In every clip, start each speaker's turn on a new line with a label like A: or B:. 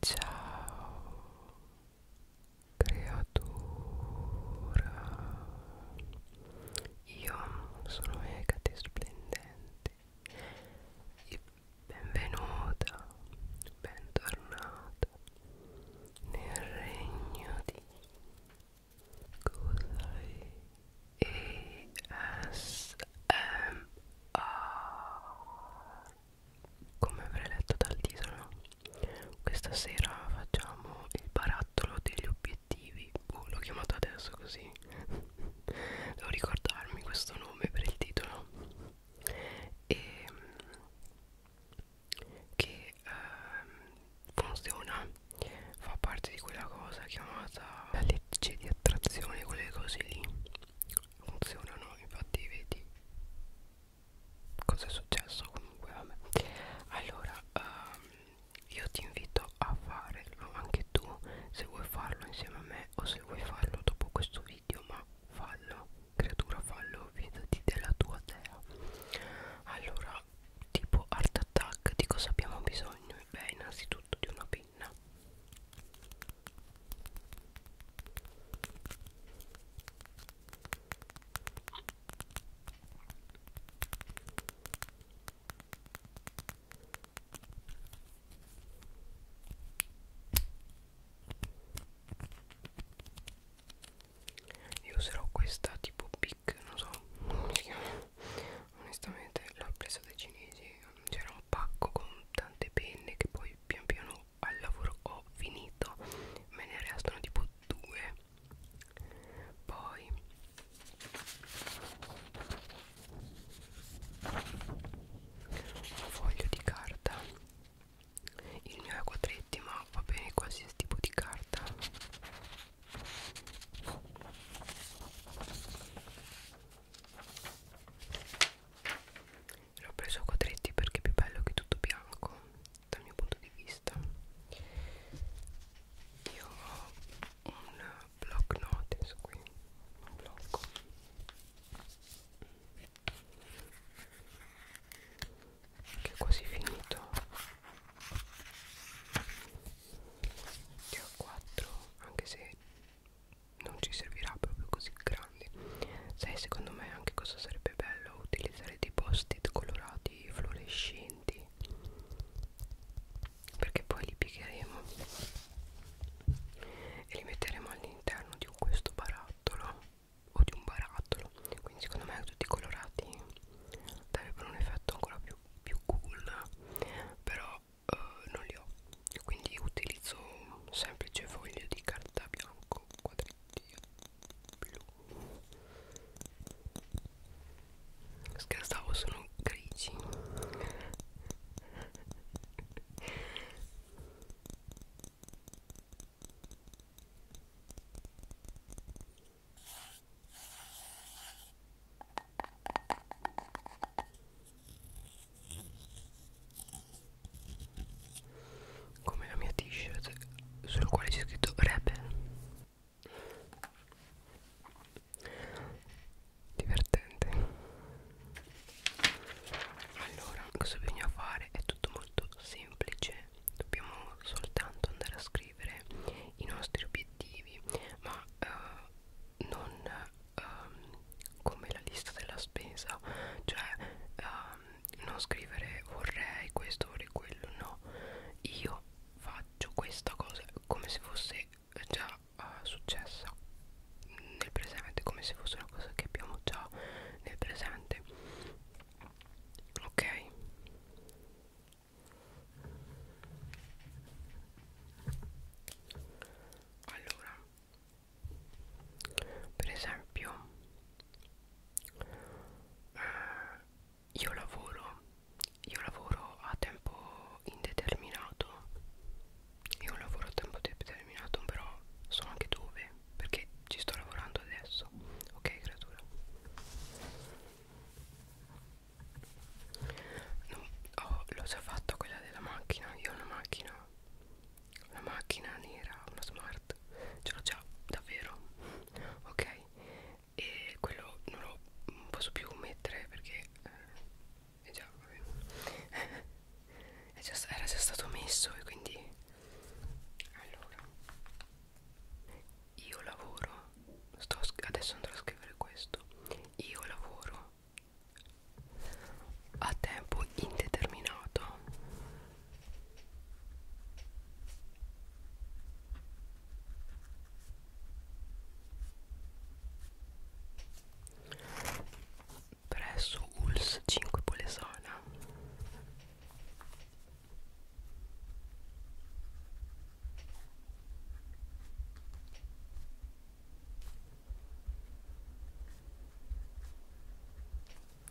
A: Ciao creatura Io sono Egate Splendente benvenuta, bentornata nel regno di Cosai come avrei letto dal titolo questa sera facciamo il barattolo degli obiettivi oh, l'ho chiamato adesso così devo ricordarmi questo nome per il titolo e ehm, che eh, funziona fa parte di quella cosa chiamata la legge di attrazione quelle cose lì funzionano infatti vedi cosa è successo comunque a me allora um, io ti invito a farlo anche tu se vuoi farlo insieme a me o se vuoi farlo dopo questo video ma fallo creatura fallo vedati della tua dea allora tipo art attack di cosa abbiamo bisogno beh innanzitutto di una penna io userò questa tipo pic, non so come si chiama. Onestamente l'ho presa dai cinesi, c'era un pacco con tante penne che poi pian piano ho al lavoro ho finito me ne restano tipo due poi un foglio di carta il mio è a quadretti ma va bene qualsiasi tipo di carta l'ho preso a quadretti perché è più bello che tutto bianco dal mio punto di vista io ho un block notes qui un blocco che è quasi finito che ho 4 anche se non ci servirà proprio così grandi sai secondo me anche cosa sarebbe bello utilizzare dei post-it colorati fluorescenti perché poi li piegheremo e li metteremo all'interno di questo barattolo o di un barattolo quindi secondo me tutti colorati darebbero un effetto ancora più, più cool però eh, non li ho quindi utilizzo un semplice foglio di carta bianco quadretti blu scherzavo sono grigi come la mia t-shirt sul quale c'è scritto Rebel divertente allora cosa bisogna fare è tutto molto semplice dobbiamo soltanto andare a scrivere i nostri obiettivi ma eh, non um, come la lista della spesa cioè um, non scrivere vorrei questo vorrei quello no io faccio questa cosa come se fosse già uh, successa nel presente come se fosse una cosa che abbiamo già nel presente ok allora per esempio eh, io lavoro io lavoro a tempo indeterminato io lavoro a tempo determinato però so anche dove perché ci sto lavorando adesso ok creatura no, oh, l'ho già fatto quella della macchina io ho una macchina una macchina nera, una smart, ce l'ho già, davvero, ok? E quello non lo posso più mettere perché eh, è già, è già, era già stato messo e quindi... Allora, io lavoro, sto, adesso andrò a scrivere questo, io lavoro a tempo indeterminato presso ULS 5 Polesana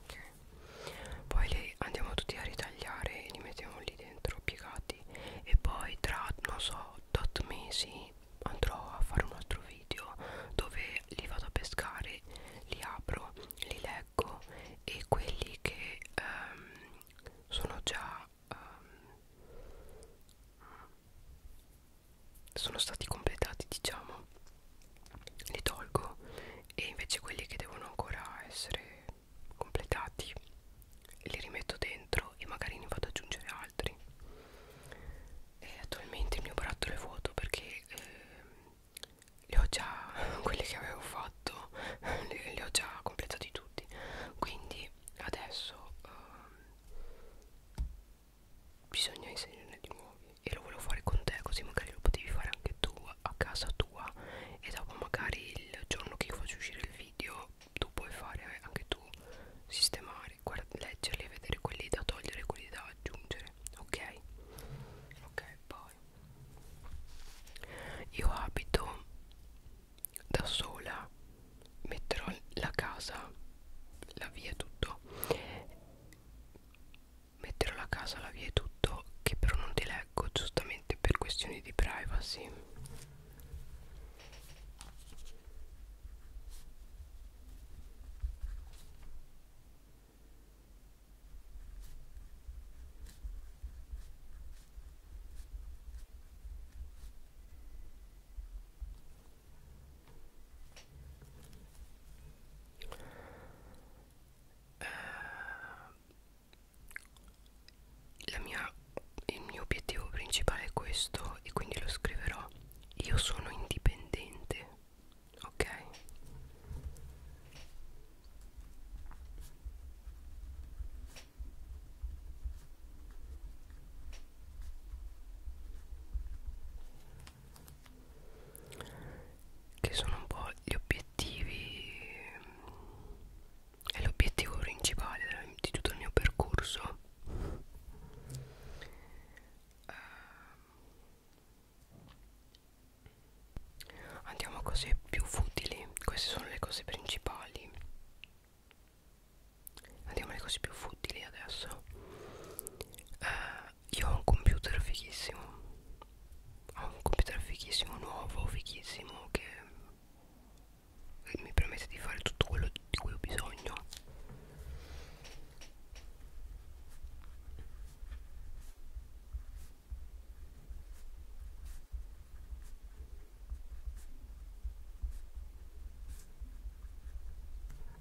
A: ok poi li andiamo tutti a ritagliare e li mettiamo lì dentro piegati e poi tra non so 8 mesi andrò a fare un altro video dove li vado a pescare li apro li leggo e quelli che um, sono già um, sono stati completati diciamo li tolgo e invece quelli che devono ancora essere completati li rimetto dentro e magari ne vado ad aggiungere altri e eh, attualmente il mio barattolo è vuoto perché eh, li ho già quelli che avevo fatto li, li ho già completati tutti quindi adesso eh, bisogna inserirne di nuovi e lo volevo fare con te così magari lo potevi fare anche tu a casa tua e dopo magari il giorno che io faccio uscire il video tu puoi fare anche tu sistemare leggerli e vedere quelli da togliere e quelli da aggiungere ok ok poi io abito da sola metterò la casa la via tutto metterò la casa alla via e tutto che però non ti leggo giustamente per questioni di privacy eh, la mia, il mio obiettivo principale è questo e quindi lo scriverò io sono indipendente ok che sono un po' gli obiettivi è l'obiettivo principale di tutto il mio percorso ehm, andiamo a cose più futili queste sono le cose principali andiamo alle cose più futili adesso eh, io ho un computer fighissimo ho un computer fighissimo nuovo fighissimo che mi permette di fare tutto quello di cui ho bisogno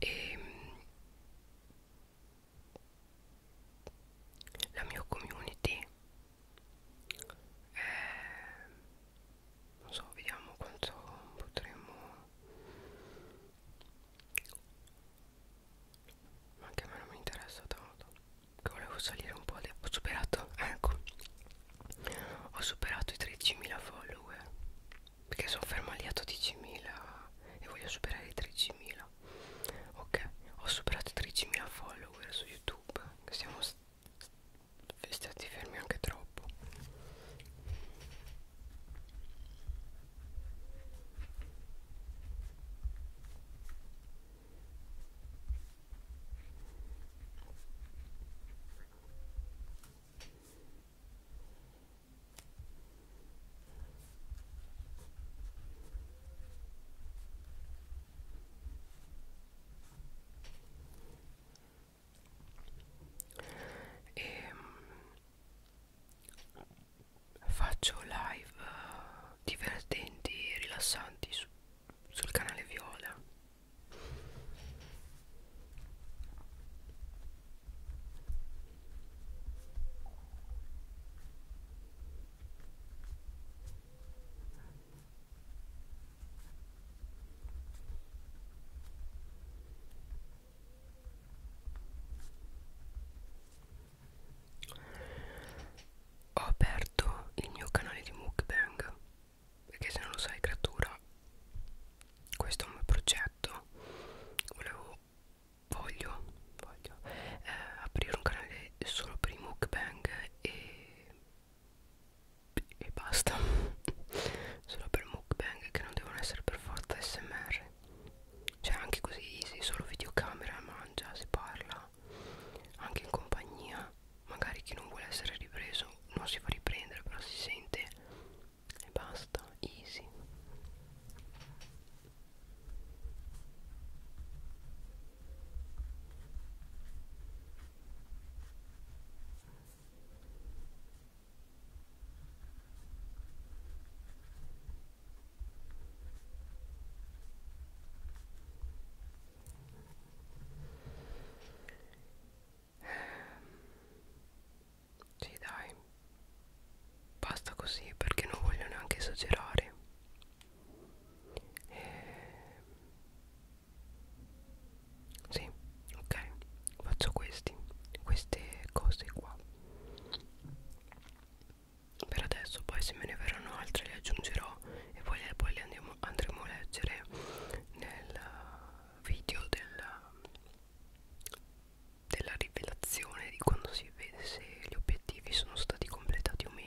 A: e ehm, la mia community è, eh, non so vediamo quanto potremo ma anche a me non mi interessa tanto che volevo salire un po' ho superato ecco ho superato i 13.000 follower perché sono ferma lì a 12.000 e voglio superare i 13.000 ok ho superato 13.000 follower su youtube siamo stati fermi anche troppo e ehm, faccio live eh, divertenti e rilassanti su, sul canale Viola ho aperto il mio canale di mukbang perché se non lo sai creatura questo è un progetto volevo voglio, voglio eh, aprire un canale solo per i mukbang e, e basta solo per mukbang che non devono essere per forza smr cioè anche così easy solo videocamera mangia si parla anche in compagnia magari chi non vuole essere ripreso non si fa riprendere però si sente e basta easy sì dai basta così perché non voglio neanche esagerare eh, sì ok faccio questi queste cose qua per adesso poi se me ne verranno altre le aggiungerò e poi, poi le andiamo, andremo a leggere nel video del della rivelazione di quando si vede se gli obiettivi sono stati completati o meno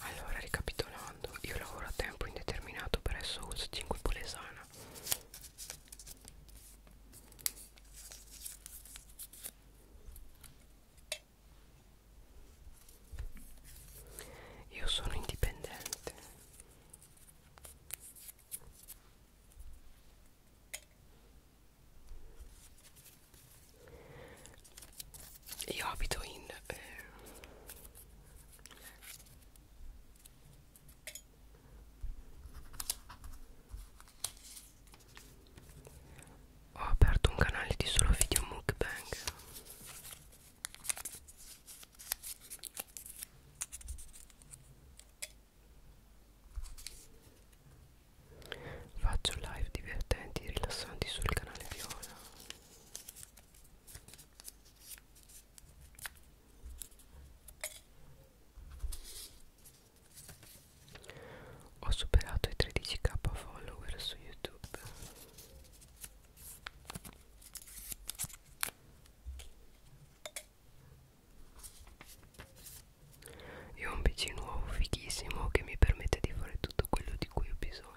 A: Allora, ricapitolando, io lavoro a tempo indeterminato presso Ulz 5 Polesano strano io sono indipendente io abito in eh, ho aperto un canale di solo video mukbang Faccio live divertenti e rilassanti sul canale Viola ho superato i 13k follower su YouTube. E ho un PC nuovo fighissimo che mi permette di fare tutto quello di cui ho bisogno.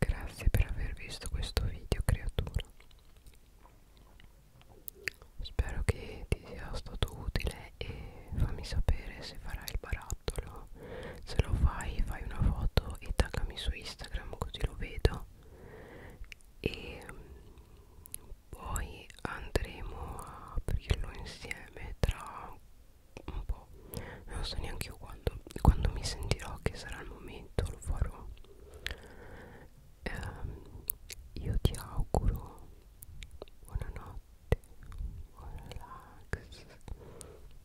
A: Grazie per aver visto questo video creatura Spero che ti sia stato utile e fammi sapere se farai il barattolo Se lo fai fai una foto e taggami su Instagram così lo vedo e poi andremo a aprirlo insieme tra un po' non so neanche io quando, quando mi sentirò che sarà il momento lo farò ehm, io ti auguro buonanotte buon relax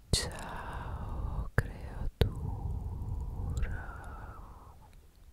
A: ciao creatura